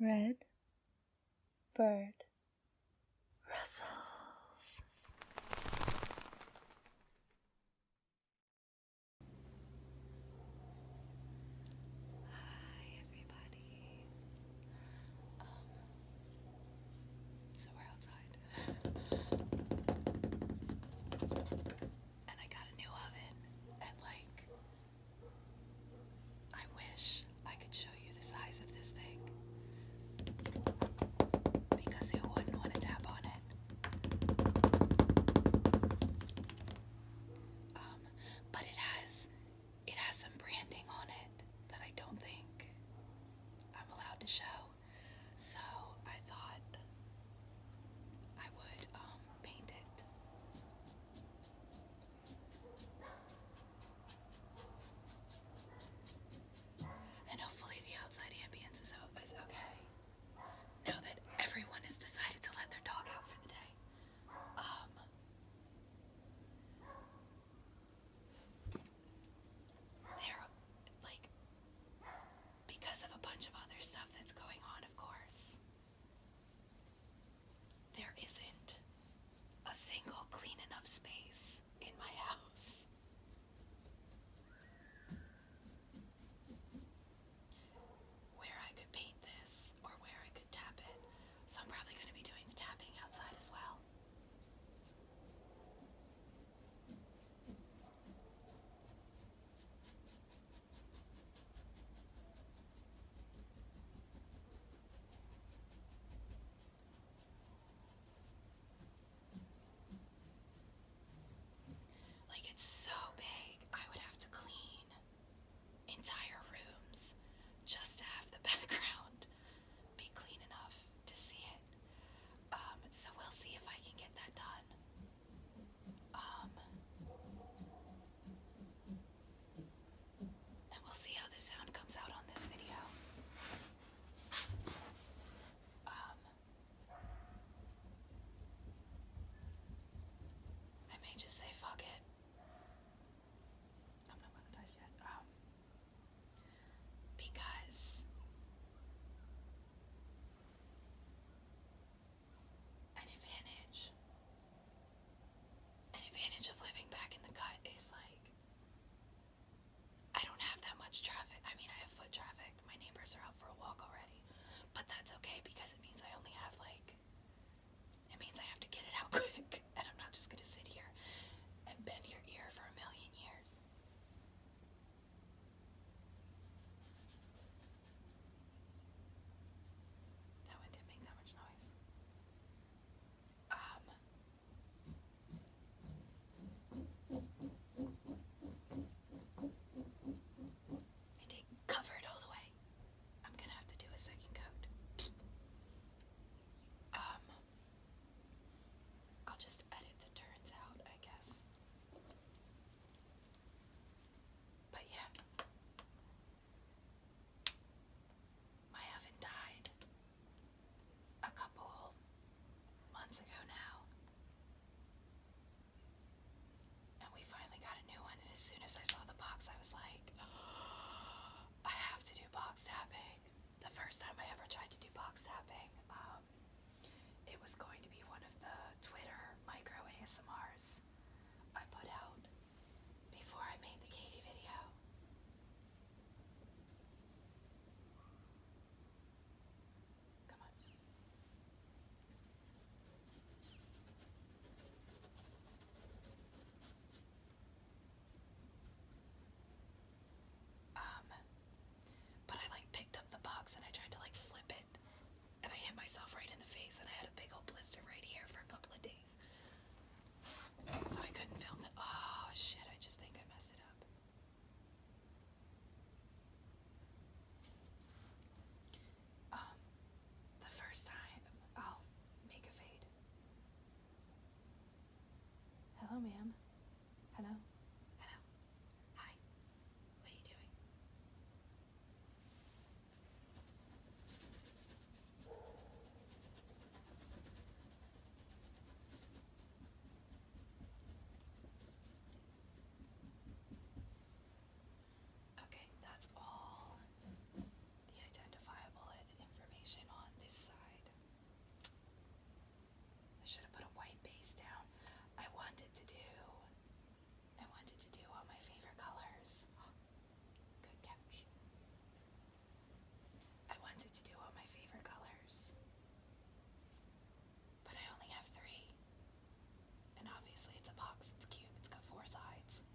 Red bird rustles. Hi, everybody. Um, so we're outside. and I got a new oven, and like I wish I could show you the size of this thing because it wouldn't want to tap on it. Um, but it has it has some branding on it that I don't think I'm allowed to show. So I thought I would um paint it. And hopefully the outside ambience is, is okay. Now that everyone has decided to let their dog out for the day. Um, they're like because of a bunch of other stuff that's going on, of course. There isn't a single clean enough space in my house. Where I could paint this or where I could tap it. So I'm probably going to be doing tapping outside as well. Like it's so big, I would have to clean entire rooms just to have the background be clean enough to see it. Um, so we'll see if I can get that done. Um, and we'll see how the sound comes out on this video. Um, I may just say fuck it. I'm not monetized yet. Um, because an advantage. An advantage of living back in the cut is like I don't have that much traffic. I mean, I have foot traffic. My neighbors are out for a walk already. But that's okay because it means I only have like it means I have to get it out quick and I'm not just going to sit here and bend your ear for a million years. That one didn't make that much noise. Um. I did cover it all the way. I'm gonna have to do a second coat. Um. I'll just edit the turns out, I guess. But yeah, I haven't died a couple months ago now. And we finally got a new one, and as soon as I saw the box, I was like, I have to do box tapping. The first time I ever tried to do box tapping, um, it was going to be one of the Twitter micro ASMRs I put out before I made the Katie video. Come on. Um, but I like picked up the box and I tried to like flip it and I hit myself right in the face, and I had a big old blister right here for a couple of days. So I couldn't film the. Oh shit, I just think I messed it up. Um, the first time. i make a fade. Hello, ma'am. Hello. Hello. Hi. What are you doing? Okay, that's all the identifiable information on this side. I should have put a white base down. I wanted to do I wanted to do all my favorite colors. good catch. I wanted to do all my favorite colors. But I only have three. And obviously it's a box, it's cube, it's got four sides.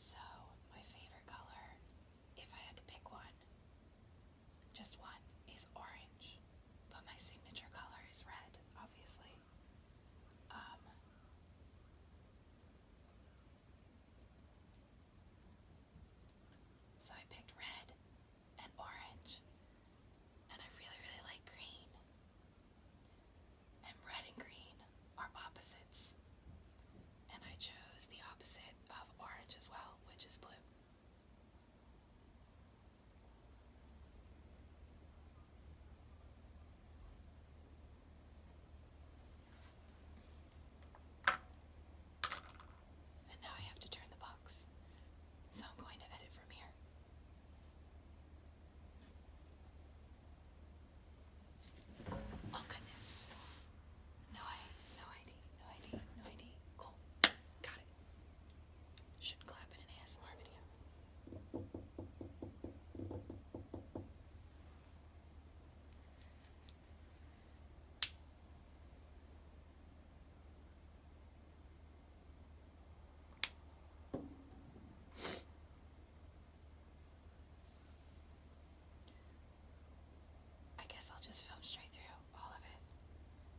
So, my favorite color, if I had to pick one, just one is orange, but my signature color is red, obviously. Um, so I picked red and orange, and I really, really like green. And red and green are opposites, and I chose the opposite of orange as well, which is blue. And now I have to turn the box. So I'm going to edit from here. Oh goodness. No I no ID. No ID. No ID. Cool. Got should clap in an ASMR video. I guess I'll just film straight through all of it.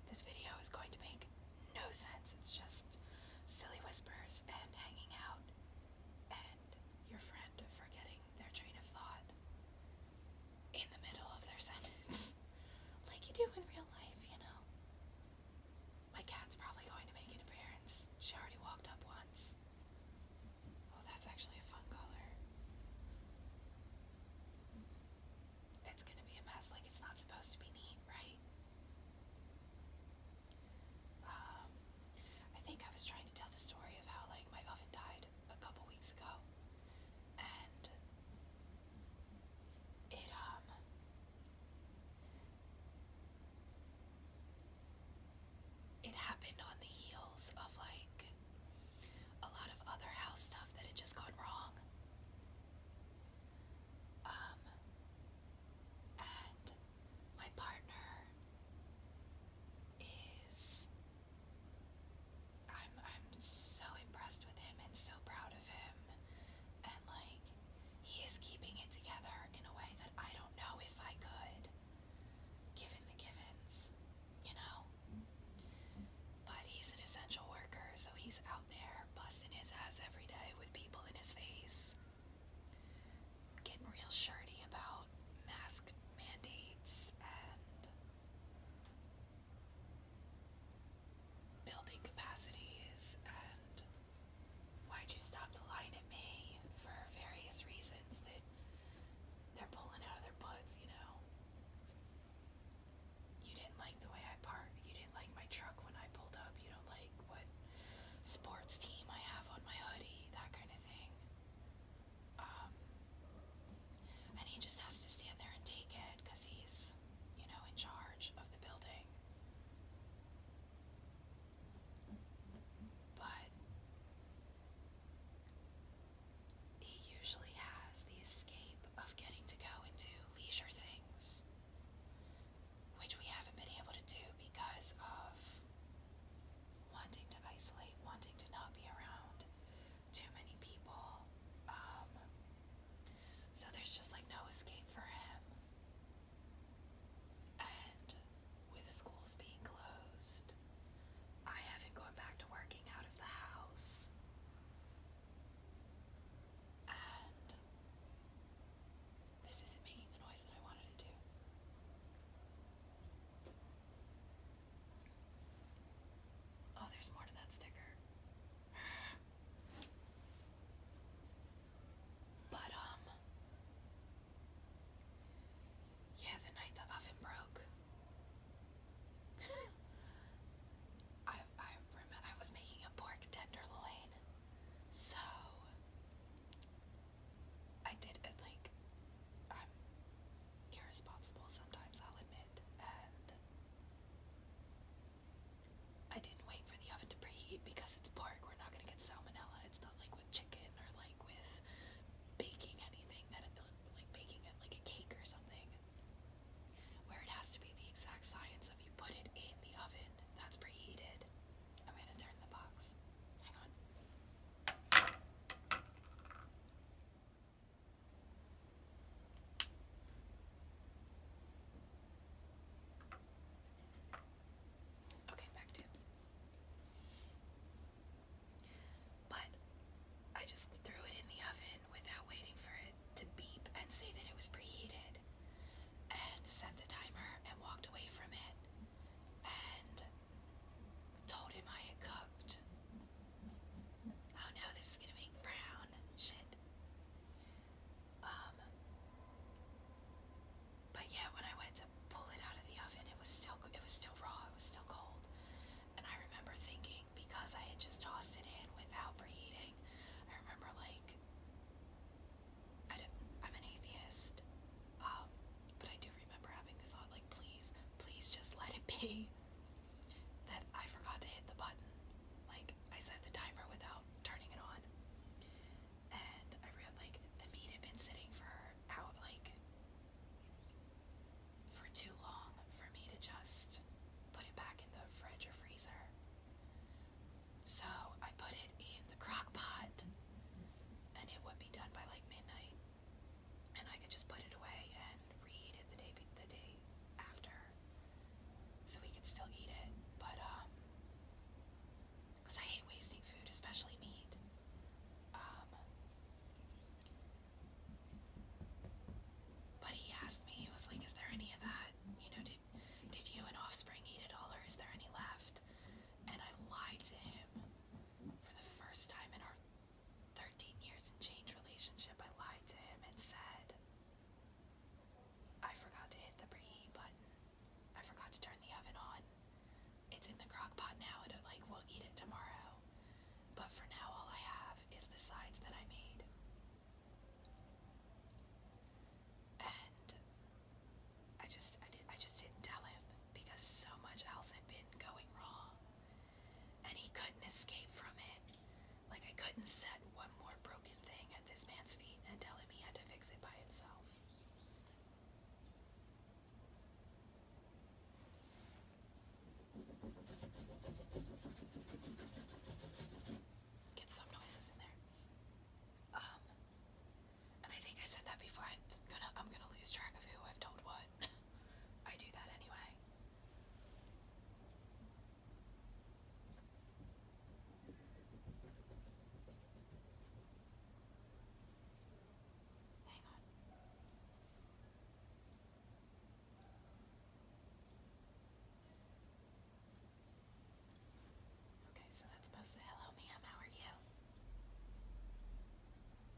This video is going to make no sense. It's just silly whispers and hanging out and your friend forgetting their train of thought in the middle of their sentence. like you do in real life, you know. My cat's probably going to make an appearance. She already walked up once. Oh, that's actually a fun color. It's gonna be a mess. Like, it's not supposed to be neat, right? Um, I think I was trying to tell the story of how, like, my oven died a couple weeks ago. And it, um, it happened on the heels of, like, a lot of other house stuff that had just gone wrong. Um, and my partner is. I'm, I'm so impressed with him and so proud of him. And like, he is keeping it together in a way that I don't know if I could, given the givens you know. But he's an essential worker, so he's out there busting his ass every day with people in his face. Getting real shirty about mask mandates and building capacities and why'd you stop the line at me for various reasons they're pulling out of their butts, you know. You didn't like the way I parked. You didn't like my truck when I pulled up. You don't like what sports team I have on my hoodie, that kind of thing. Um, and he just has to stand there and take it because he's, you know, in charge of the building. But he usually has the escape of getting to go and do leisure things, which we haven't been able to do because of wanting to isolate, wanting to not be around too many people. Um, so there's just like no escape for him. And with schools being closed, I haven't gone back to working out of the house. And this isn't making the noise that I wanted it to. Oh, there's more to that sticker. But, um, yeah, the night the oven broke. I I remember I was making a pork tenderloin, so I did like I'm irresponsible sometimes. I'll admit, I didn't wait for the oven to preheat because it's pork. We're not gonna get salmonella. It's not like with chicken or like with baking anything that it, like baking it like a cake or something where it has to be the exact science of you put it in the oven that's preheated. I'm gonna turn the box. Hang on. Okay, back to. But I just threw it in the oven without waiting for it to beep and say that it was preheated, and set the timer and walked away from it and told him I had cooked. Oh no, this is gonna make brown shit. Um, but yeah, when I went to pull it out of the oven, it was still it was still raw. It was still cold, and I remember thinking because I had just tossed it in without preheating. I remember like I am an atheist, um, but I do remember having the thought like, please, please just let it be. That I forgot to hit the button. Like I set the timer without turning it on. And I remember like the meat had been sitting for out like for too long for me to just put it back in the fridge or freezer. So I put it in the crock and it would be done by like midnight. And I could just put it away and reheat it the day the day after. So we could still eat it, but um because I hate wasting food, especially meat. Um, but he asked me, he was like, "Is there any of that? You know, did did you and offspring eat it all, or is there any left?" And I lied to him for the first time in our 13 years and change relationship. I lied to him and said. I forgot to hit the pre button. I forgot to turn the oven on. It's in the crock pot now, and it, like we'll eat it tomorrow. But for now, all I have is the sides that I made. And I just, I did, I just didn't tell him because so much else had been going wrong, and he couldn't escape from it. Like I couldn't set one more broken thing at this man's feet and tell him he had to fix it by himself. Get some noises in there. Um, and I think I said that before. I'm gonna I'm gonna lose track of who I've told what. I do that anyway. Okay, so that's supposed to hello ma'am, how are you?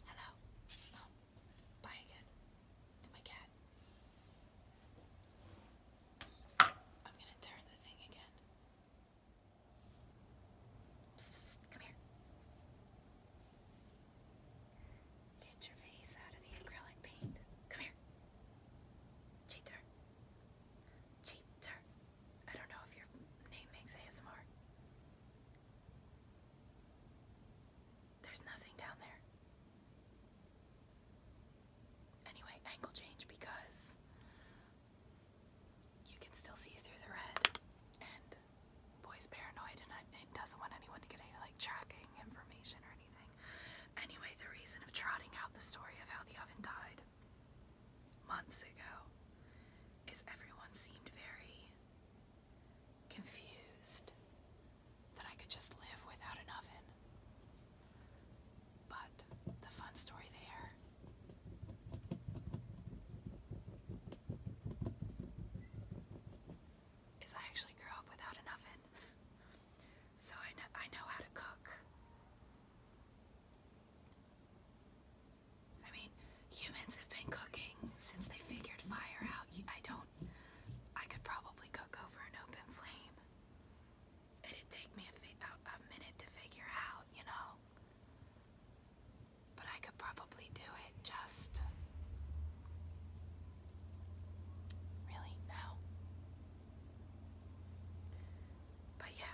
Hello. Oh, bye again. It's my cat. I'm gonna turn the thing again come here. Get your face out of the acrylic paint. Come here. Cheater. Cheater. I don't know if your name makes ASMR. There's nothing down there. Anyway, angle change because you can still see through the red, and boy's paranoid and, it doesn't want anyone to get any like tracking information or anything. Anyway, the reason of trotting out the story of how the oven died months ago is everyone seemed very confused that I could just live without an oven. But the fun story there is I actually grew up without an oven. so I know I know how to cook. I mean, humans have been cooking since they figured fire out. I don't I could probably cook over an open flame it'd take me a, minute to figure out, you know. But I could probably do it just. Really? No. But yeah,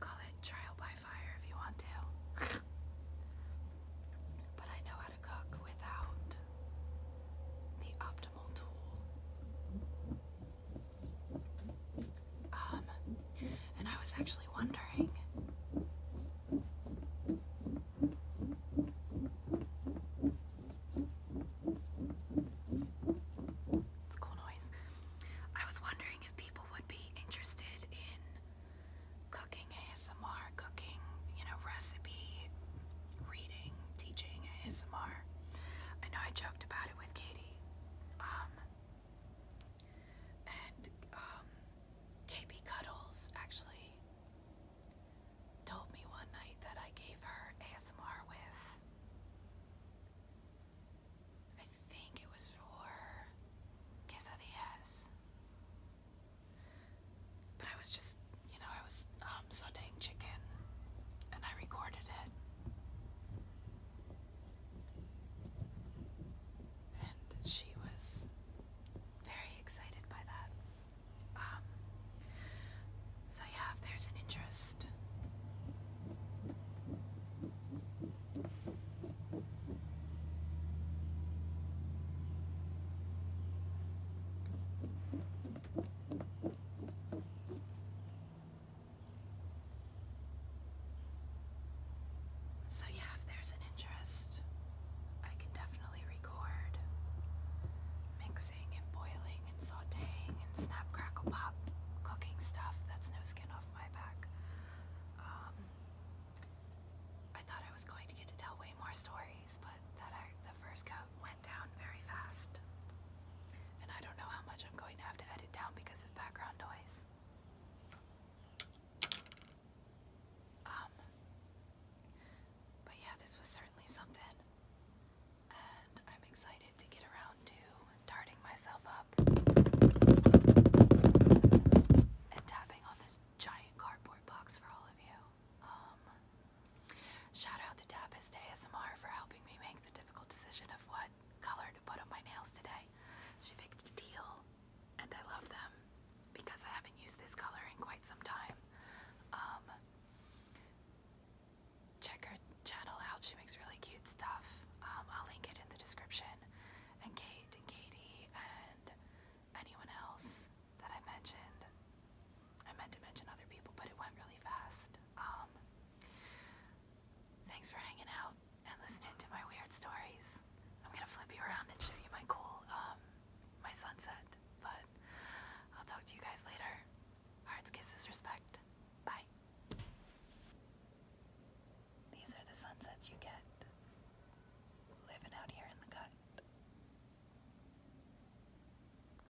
call it trial by fire if you want to. but I know how to cook without the optimal tool. Um, and I was actually wondering. It's a cool noise. I was wondering if people would be interested in cooking ASMR, cooking, you know, recipe, reading, teaching ASMR. I know I joked about it with Katie um, and um, KB Cuddles actually told me one night that I gave her ASMR with, I think it was for Kiss of the Ass. But I was just, you know, I was um, sauteing chicken and I recorded it. And she was very excited by that. Um, so, yeah, there's an interest, so, yeah, if there's an interest, I can definitely record mixing and boiling and sauteing and snap, crackle, pop cooking stuff. That's no skin off my back. Um, I thought I was going to get to tell way more stories, but that I, the first coat went down very fast. And I don't know how much I'm going to have to edit down because of background noise. Um, but yeah, this was certainly something. And I'm excited to get around to tarring myself up and tapping on this giant cardboard box for all of you. Um, Shout out to Dabist ASMR for helping me make the difficult decision of what color to put on my nails today. She picked teal, and I love them because I haven't used this color in quite some time. Um, check her channel out, she makes really cute stuff. Um, I'll link it in the description. And Kate and Katie and anyone else that I mentioned, I meant to mention other people, but it went really fast. Um, thanks for hanging out and listening to my weird stories. I'm gonna flip you around and show you my cool, um, my sunset. But I'll talk to you guys later. Hearts, kisses, respect. Bye. These are the sunsets you get living out here in the cut.